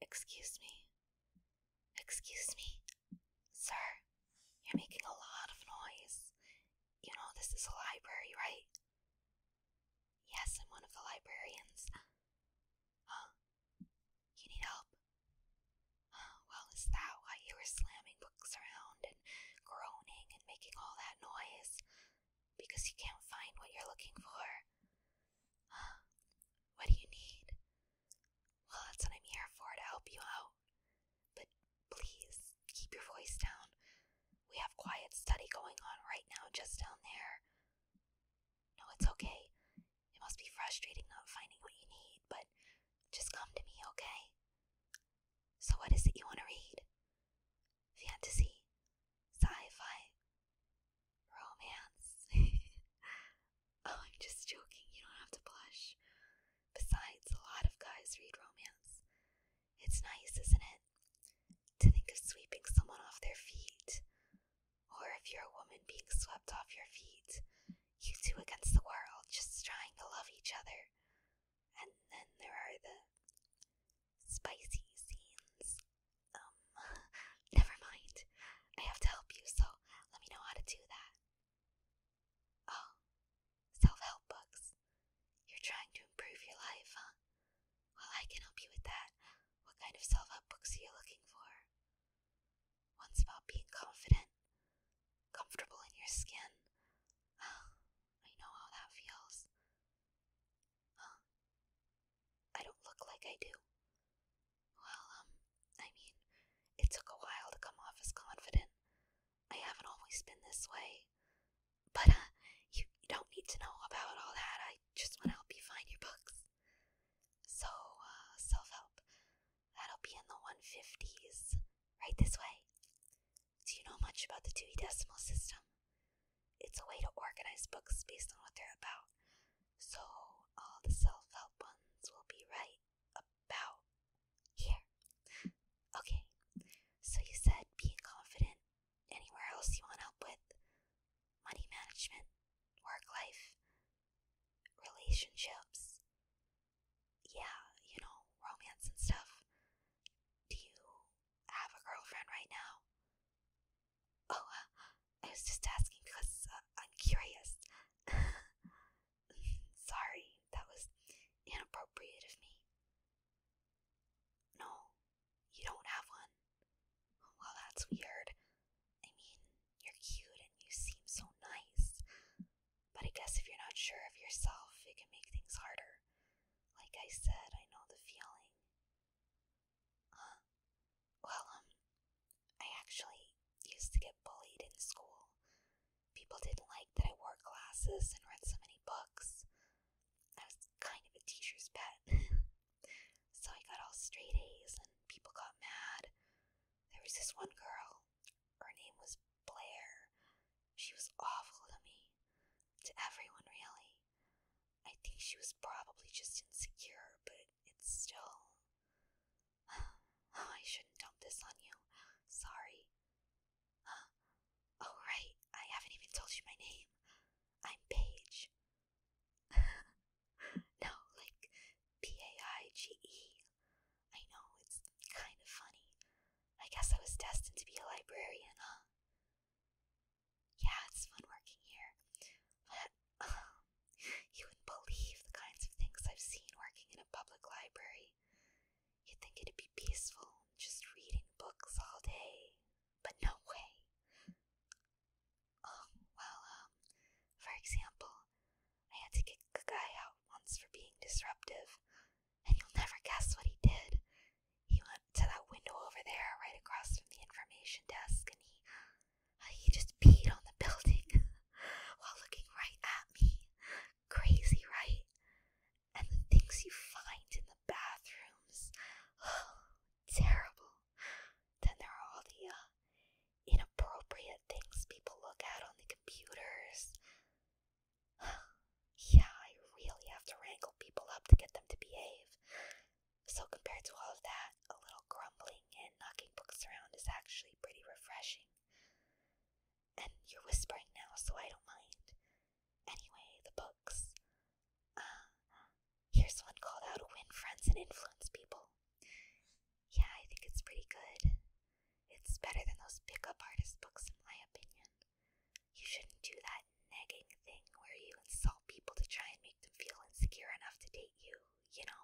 Excuse me. Excuse me. Sir, you're making a lot of noise. You know this is a library, right? Yes, I'm one of the librarians. Huh? You need help? well, is that why you were slamming books around and groaning and making all that noise? Because you can't find what you're looking for? Uh, what do you need? Well, that's what I'm here for, to help you out. But please, keep your voice down. We have quiet study going on right now, just down there. No, it's okay. It must be frustrating not finding what you need, but just come to me, okay? So, what is it you want to read? Fantasy? Sci fi? Romance. oh, I'm just joking. You don't have to blush. Besides, a lot of guys read romance. It's nice, isn't it? To think of sweeping someone off their feet. Or if you're a woman being swept off your feet, you two against the world, just trying to love each other. And then there are the spicy scenes. Um, never mind. I have to help you, so let me know how to do that. Oh, self help books. You're trying to improve your life, huh? Well, I can help you with that. What kind of self help books are you looking for? One's about being confident, comfortable in your skin. Oh, I know how that feels. Huh? I don't look like I do. Well, um, I mean, it took a while to come off as confident. I haven't always been this way. But, uh, you, you don't need to know about all that. I just want to help you find your books. So, uh, self help. That'll be in the 150s. Right this way. Do you know much about the Dewey Decimal System? It's a way to organize books based on what they're about. So all the self help ones will be right about here. Okay, so you said being confident. Anywhere else you want help with? Money management, work life, relationships. Yeah, you know, romance and stuff. Do you have a girlfriend right now? Oh, I was just asking because uh, I'm curious. Sorry, that was inappropriate of me. No, you don't have one. Well, that's weird. I mean, you're cute and you seem so nice. But I guess if you're not sure of yourself, it can make things harder. Like I said, I know the feeling. Huh. Well, um, I actually used to get bullied in school. People didn't like that I wore glasses and read so many books. I was kind of a teacher's pet. so I got all straight A's and people got mad. There was this one girl. Her name was Blair. She was awful to me. To everyone, really. I think she was probably just insecure, but it's still. I shouldn't dump this on you. Sorry. Oh, uh, right. I haven't even told you my name. I'm Paige. no, like P A I G E. I know, it's kind of funny. I guess I was destined to be a librarian, huh? Yeah, it's fun working here, but um, you wouldn't believe the kinds of things I've seen working in a public library. You'd think it'd be peaceful, just reading books all day, but no way. Oh, well, um, for example, I had to kick a guy out once for being disruptive, and you'll never guess what he did. He went to that window over there, right across from the information desk, and he uh, he just peed on the building while looking right at me. Crazy, right? And the things you find in the bathrooms, oh, terrible. Then there are all the uh, inappropriate things people look at on the computers. yeah, I really have to wrangle people up to get them to behave. So, compared to all of that, a little grumbling and knocking books around is actually pretty refreshing. And you're whispering now, so I don't mind. Anyway, the books. Uh, here's one called How to Win Friends and Influence People. Yeah, I think it's pretty good. It's better than those pickup artist books, in my opinion. You shouldn't do that nagging thing where you insult people to try and make them feel insecure enough to date you, you know?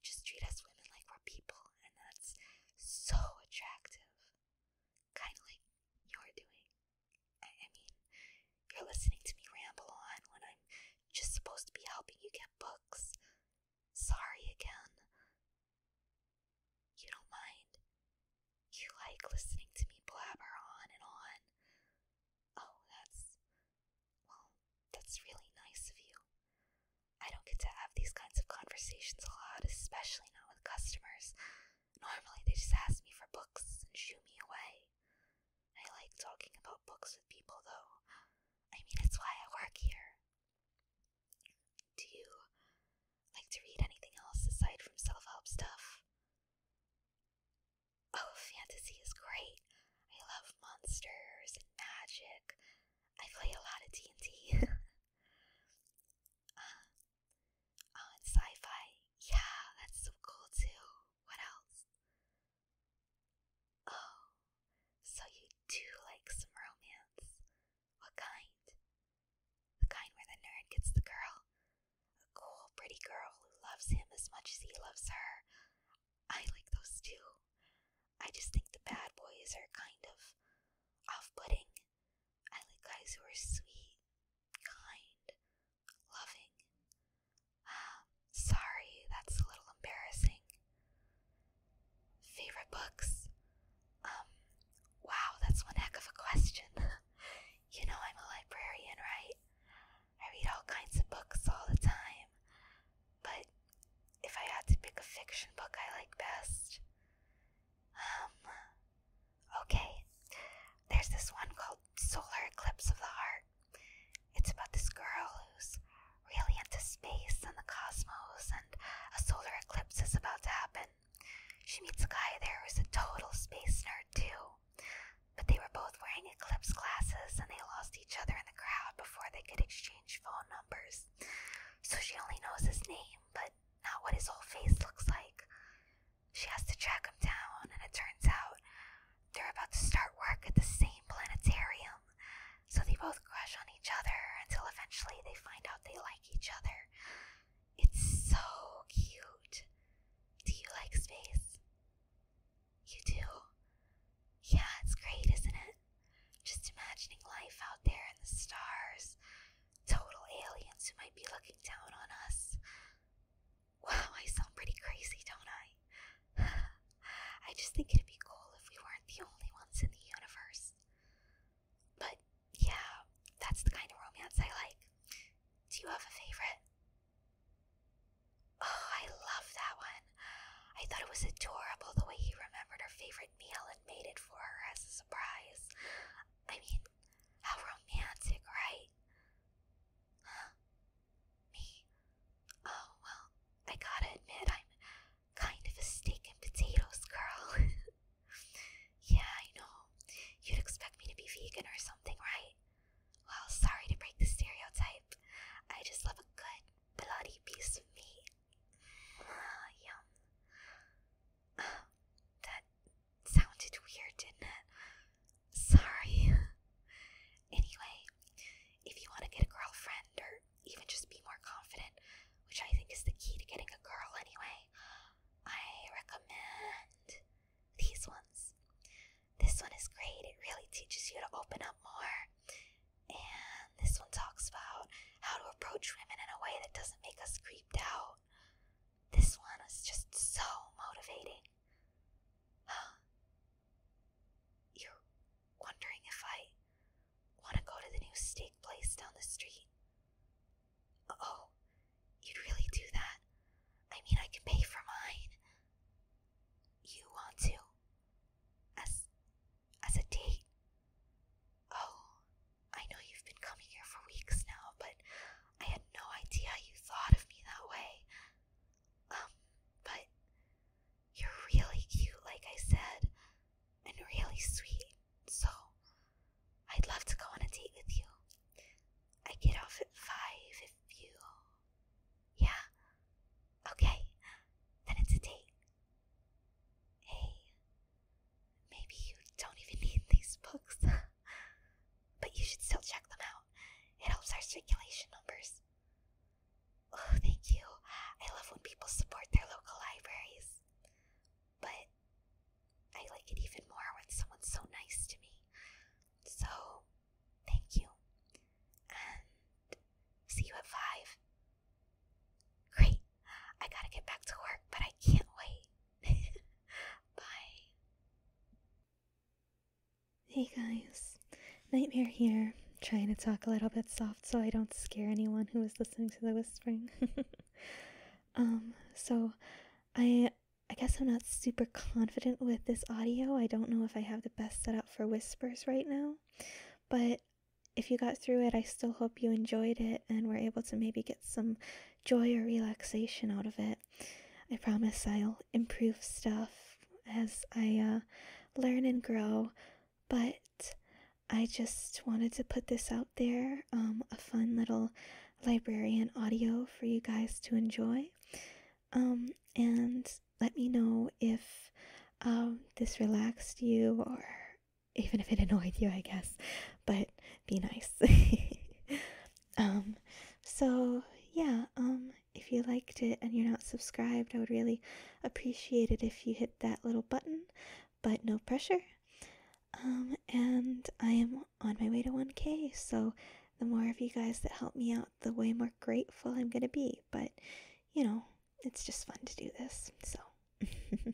Just treat us women like we're people, and that's so attractive. Kind of like you're doing. I, I mean, you're listening to me ramble on when I'm just supposed to be helping you get books. Sorry again. You don't mind. You like listening to me blabber on and on. Oh, that's. Well, that's really nice of you. I don't get to have these kinds of conversations a lot, especially not with customers. Normally, they just ask me for books and shoo me away. I like talking about books with people, though. I mean, it's why I work here. Do you like to read anything else aside from self help stuff. Oh, fantasy is great. I love monsters and magic. I play a lot of D&D. uh, uh sci-fi. Yeah, that's so cool too. What else? Oh, so you do like some romance. What kind? The kind where the nerd gets the girl. A cool, pretty girl who loves him as much as he loves her. I like those too. I just think the bad boys are kind of off putting. I like guys who are sweet, kind, loving. Ah, sorry, that's a little embarrassing. Favorite books? Um, wow, that's one heck of a question. you know I'm a librarian, right? I read all kinds of books all the time. But if I had to pick a fiction book I like best, um, okay. There's this one called Solar Eclipse of the Heart. It's about this girl who's really into space and the cosmos, and a solar eclipse is about to happen. She meets a guy there who's a total space nerd too, but they were both wearing eclipse glasses and they lost each other in the crowd before they could exchange phone numbers. So she only knows his name, but not what his whole face looks like. She has to track him down, and it turns out they're about to start work at the same planetarium. So they both crush on each other until eventually they find out they like each other. It's so cute. Do you like space? You do? Yeah, it's great, isn't it? Just imagining life out there in the stars. Total aliens who might be looking down on us. Wow, I sound pretty crazy, don't I? I just think it'd be cool if we weren't the only ones in the universe. But yeah, that's the kind of romance I like. Do you have a favorite? Oh, I love that one. I thought it was adorable the way he remembered her favorite meal and made it for her as a surprise. I mean, how romantic, right? Me? Oh, well, I gotta admit, I'm kind of a steak and potatoes girl. Yeah, I know. You'd expect me to be vegan or something, right? Well, sorry to break the stereotype. I just love a good, bloody piece of meat. Ah, yum. that sounded weird, didn't it? Sorry. anyway, if you want to get a girlfriend or even just be more confident, which I think is the key to getting a girl anyway, I recommend these ones. This one is great, it really teaches you to open up more. And this one talks about how to approach women in a way that doesn't make us creeped out. This one is just so motivating. You're wondering if I want to go to the new steak place down the street? Oh, you'd really do that? I mean, I can pay for mine. You want to? As, as a date? Oh, I know you've been coming here for weeks now, but I had no idea you thought of me that way. Um, but you're really cute, like I said, and really sweet. So, I'd love to go on a date with you. I get off at 5 if you. Yeah? Okay, then it's a date. Hey, maybe you don't even need these books, but you should still check them out. It helps our circulation numbers. Oh, thank you. I love when people support their local libraries but I like it even more when someone's so nice to me. So, thank you. see you at 5. Great. I gotta get back to work, but I can't wait. Bye. Hey guys, Nightmare here. Trying to talk a little bit soft so I don't scare anyone who is listening to the whispering. um, so I I guess I'm not super confident with this audio. I don't know if I have the best setup for whispers right now, but if you got through it, I still hope you enjoyed it and we're able to maybe get some joy or relaxation out of it. I promise I'll improve stuff as I uh, learn and grow but I just wanted to put this out there um, a fun little librarian audio for you guys to enjoy. Um, and let me know if um, this relaxed you or even if it annoyed you, I guess. But be nice. so, yeah, if you liked it and you're not subscribed, I would really appreciate it if you hit that little button but no pressure. Um, and I am on my way to 1K, so the more of you guys that help me out, the way more grateful I'm gonna be. But you know, it's just fun to do this, so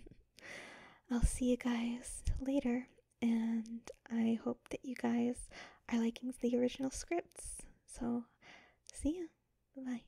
I'll see you guys later, and I hope that you guys are liking the original scripts. So, see ya. Bye.